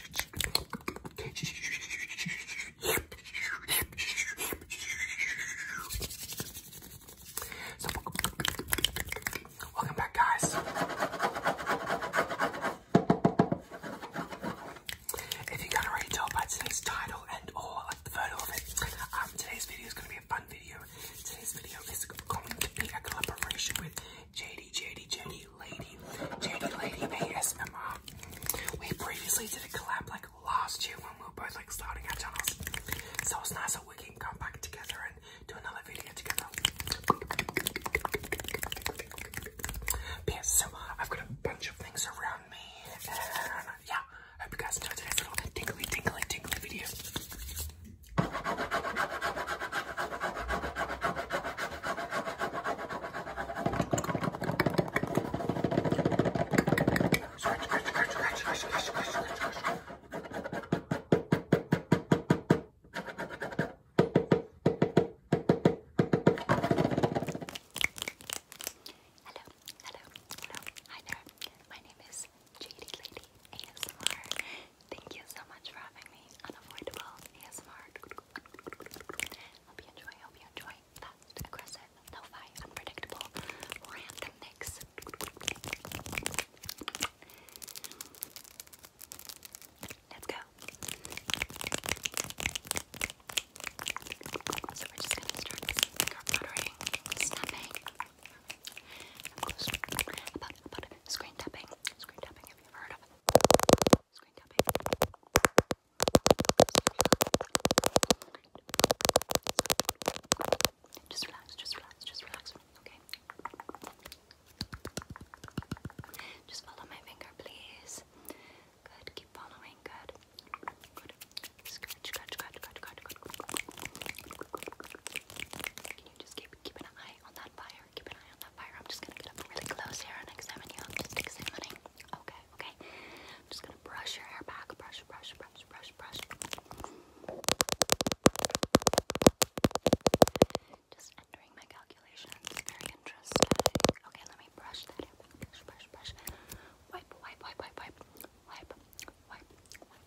So, welcome back, guys. If you can already tell by today's title and or like the photo of it, um, today's video is going to be a fun video. Today's video is going to be a collaboration with JD, JD, JD Lady, JD Lady ASMR. We previously did a collab like last year when we were both like starting our channels. So it's nice that we can come back together and do another video together. But have got a bunch of things around me and yeah, hope you guys enjoyed today's little tingly, tingly, tingly video. Hello, hello, hello, hi there. My name is Jaded Lady ASMR Thank you so much for having me on Avoidable ASMR. Hope you enjoy, hope you enjoy. Fast, aggressive, lo-fi, unpredictable, random mix. Let's go. So we're just gonna start with screen tapping, screen tapping, if you've heard of screen tapping. Just relax, just relax, just relax, okay? Just follow my finger, please. Good, keep following, good. Good. Scratch, scratch, scratch, scratch, scratch, scratch. Can you just keep keeping an eye on that fire? Keep an eye on that fire. I'm just gonna get up really close here and examine you. I'm just examining. Okay, okay. just gonna brush your hair back. Brush, brush, brush, brush, brush. Just entering my calculations. Very interesting. Okay, let me brush that hair Brush, brush, brush. wipe, wipe, wipe, wipe. Wipe, wipe, wipe, wipe. wipe.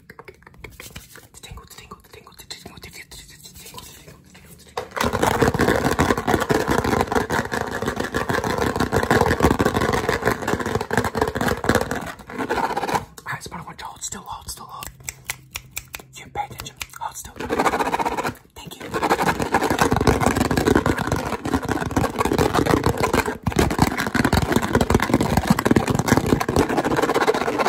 Alright, Spider Watch, hold still, hold still, hold. You pay attention, hold still. Thank you.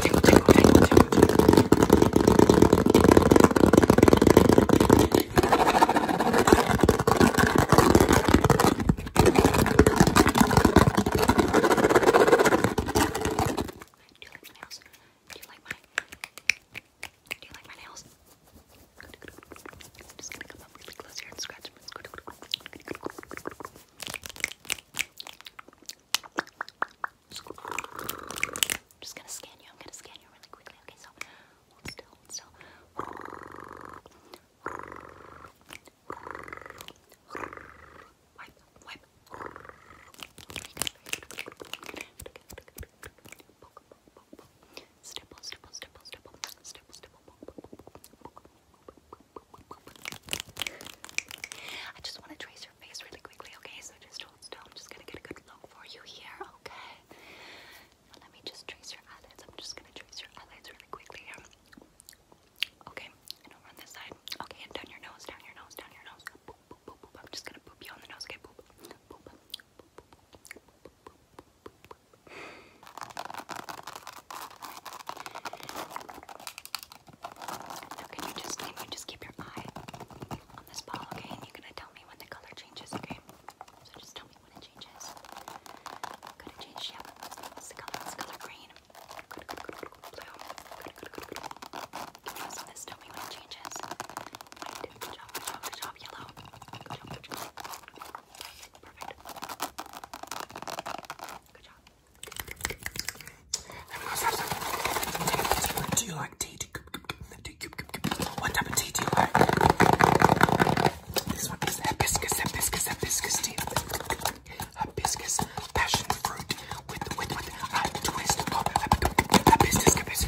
tickle, tickle, tickle, tickle, tickle. Do you like my nails? Do you like my Do you like my nails? Good, good, good. I'm just gonna come up really close here and scratch. Good, good, good, good, good, good, good, good, good, good, good. I'm just gonna scan you. I'm gonna scan you really quickly. Okay, so hold still, hold still. Wipe, wipe. Stipple, stipple, stipple, stipple, stipple, stipple. I just want to trace face, really quickly, okay? So just hold still. I'm just gonna get a good look for you here, okay? let me just trace your eyelids. I'm just gonna trace your eyelids really quickly Okay, and over on this side. Okay, and down your nose, down your nose, down your nose. I'm just gonna boop you on the nose, okay? Now can you just can you just keep your eye on this ball, okay? And you're gonna tell me when the color changes, okay? So just tell me when it changes. Could it change? Yeah. What's the color? What's the color green? Good, good, good, good, good. Blue. Good, good, good, good. Can you also this tell me when it changes? White. Good job, good job, good job. Yellow. Good job, good job. Perfect. Good job. Do you like tea? What type of tea do you like? This one is hibiscus, hibiscus, hibiscus tea. Hibiscus, passion fruit with with with a twist of hibiscus, hibiscus.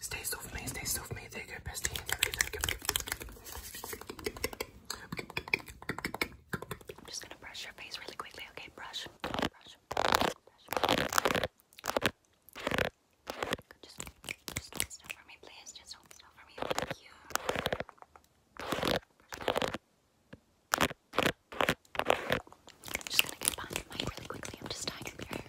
Stay so with me, stay so with me, take your bestie. I'm just gonna brush your face really quickly, okay? brush, brush, brush. Just, just hold for me, please. Just hold still for me. Thank you. I'm just gonna get behind your really quickly. I'm just tying up your hair.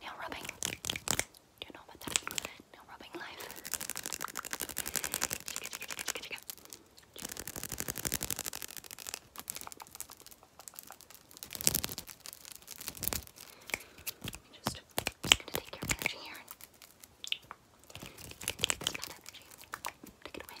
Nail rubbing. you know about that? Nail rubbing life. Just, gonna take your energy here and take this energy. Take it away.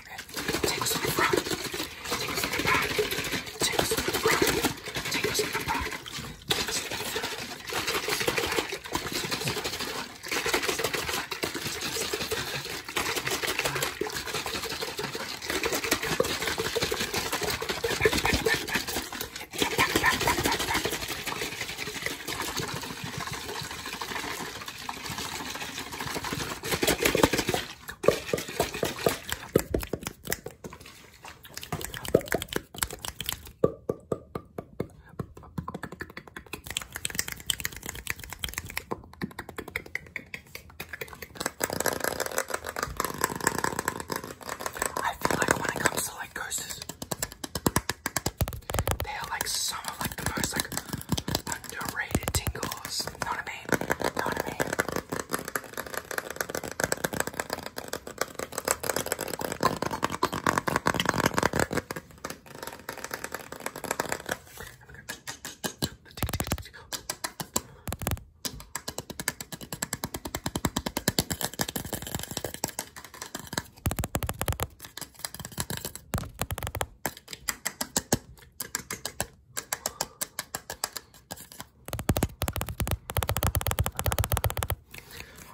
rocket. Take us on the rocket. Take us on the rocket. Take us on the rocket. Take us on the rocket. Take us on the rocket. Back, back, back, back, back, back. I feel like when it comes to like curses, they are like some of like the most like underrated tingles. Know what I mean? Know what I mean?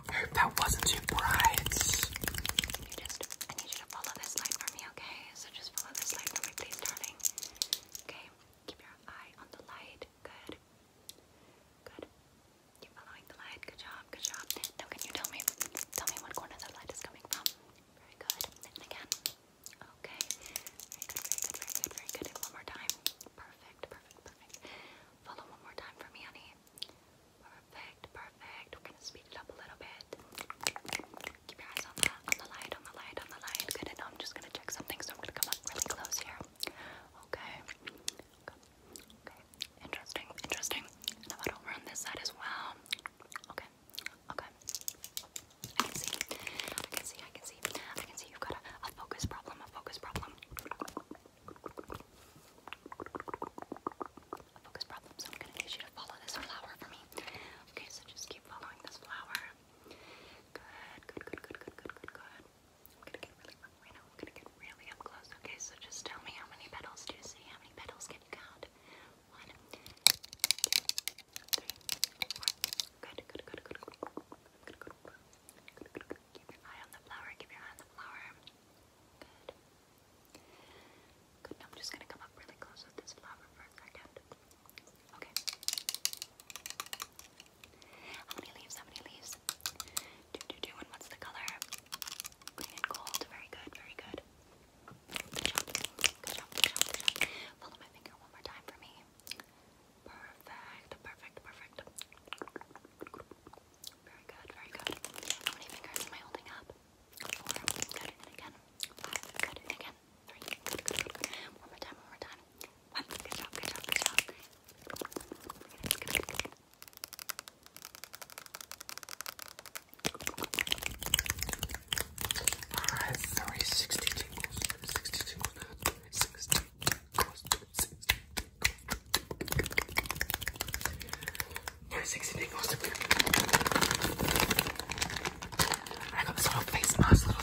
I hope that wasn't too bright. You just, I need you to follow this light for me, okay? So just follow this light for me, please, darling. Okay, keep your eye on the light. Good. Good. Keep following the light. Good job, good job. Now, can you tell me, tell me what corner the light is coming from? Very good. again. Okay. Very good, very good, very good, one more time. Perfect, perfect, perfect. Follow one more time for me, honey. Perfect, perfect. We're gonna speed it up a little bit. Keep your eyes on the on the light, on the light, on the light. Good, and I'm just gonna check something, so I'm gonna come up really close here. Okay. Okay. Interesting, interesting. And I've over on this side as well. Okay. Okay. I can see. I can see. I can see. I can see you've got a, focus problem. A focus problem. A focus problem. So I'm gonna need you to follow this flower for me. Okay. So just keep following this flower. Good. Good. Good. Good. Good. Good. Good. I'm gonna get really up right I'm gonna get really up close. Okay. So just tell me how many petals do you see? How many petals can you count? One, two, three, four. Good, good, good, good, good, good, good, good, good, good. Keep your eye the flower. Keep your eye the flower. Good. Good. I'm just gonna come up really close with this flower for a second. Okay. How many leaves? How many leaves? Two, two, two. And what's the color? Green and gold. Very good. Very good. Good job. Follow my finger one more time for me. Perfect. Perfect. Perfect. Very good. Very good. How many fingers am I holding up? Four. Good. again. Five. Good. again. Three. One more time. One more time. One. Good job. Good job. Good job. Alright, 30, 60 tingles, 60 tingles, 60 tingles, 60 tingles. 60 tingles. I got this little face mask, little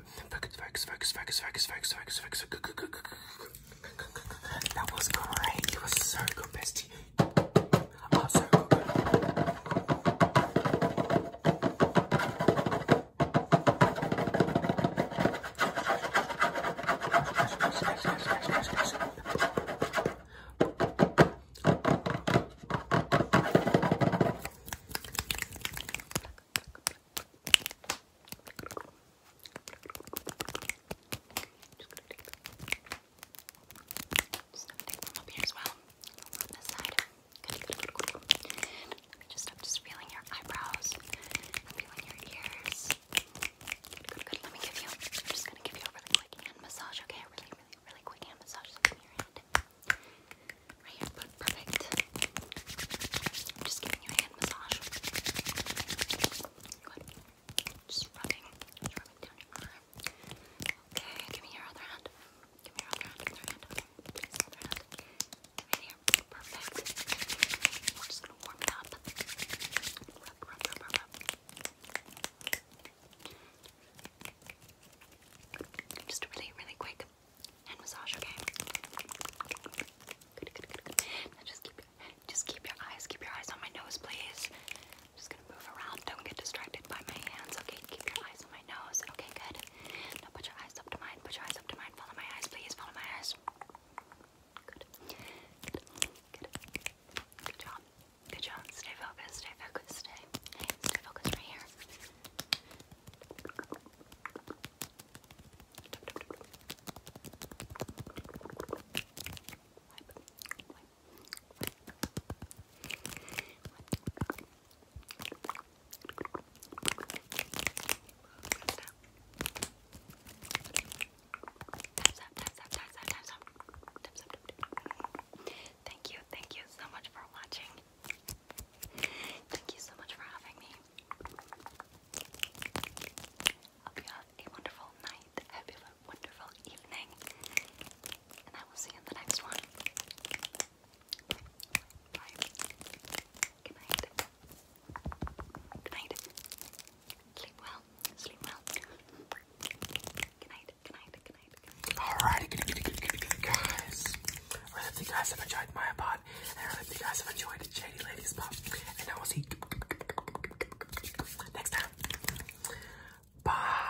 Focus, focus, focus, focus, focus, focus, focus, focus. That was great. You were so good, bestie. Oh, so good. Just take them up here as well. On this side. Good, good, good, good. Let me just, I'm just feeling your eyebrows. I'm feeling your ears. Good, good, good. Let me give you, I'm just gonna give you a really quick hand massage, okay? A really, really, really quick hand massage. So give me your hand perfect. I'm just giving you a hand massage. Good. Just rubbing, rubbing down your arm. Okay, give me your other hand. Give me your other hand, other hand, other hand. here, perfect. We're just gonna warm it up. rub, rub, rub, rub. Just really, really quick and massage, okay? just keep, just keep your eyes, keep your eyes on my nose, please. just gonna move around. Don't get distracted by my hands, okay? Keep your eyes on my nose, okay? Good. Now put your eyes up to mine. Put your eyes up to mine. Follow my eyes, please. Follow my eyes. Good. Good. Good. Good job. Good job. Stay focused. Stay focused. Stay. stay focused right here. Thank you, thank you so much for watching. Thank you so much for having me. have a wonderful night. have a wonderful evening. And I will see you in the next one. Good night. Good night. Sleep well. Sleep well. Good night. Good night. Good night. Alrighty, guys. I hope you guys have enjoyed my pod, and I hope you guys have enjoyed JD Ladies Pop. And I will see you next time. Bye.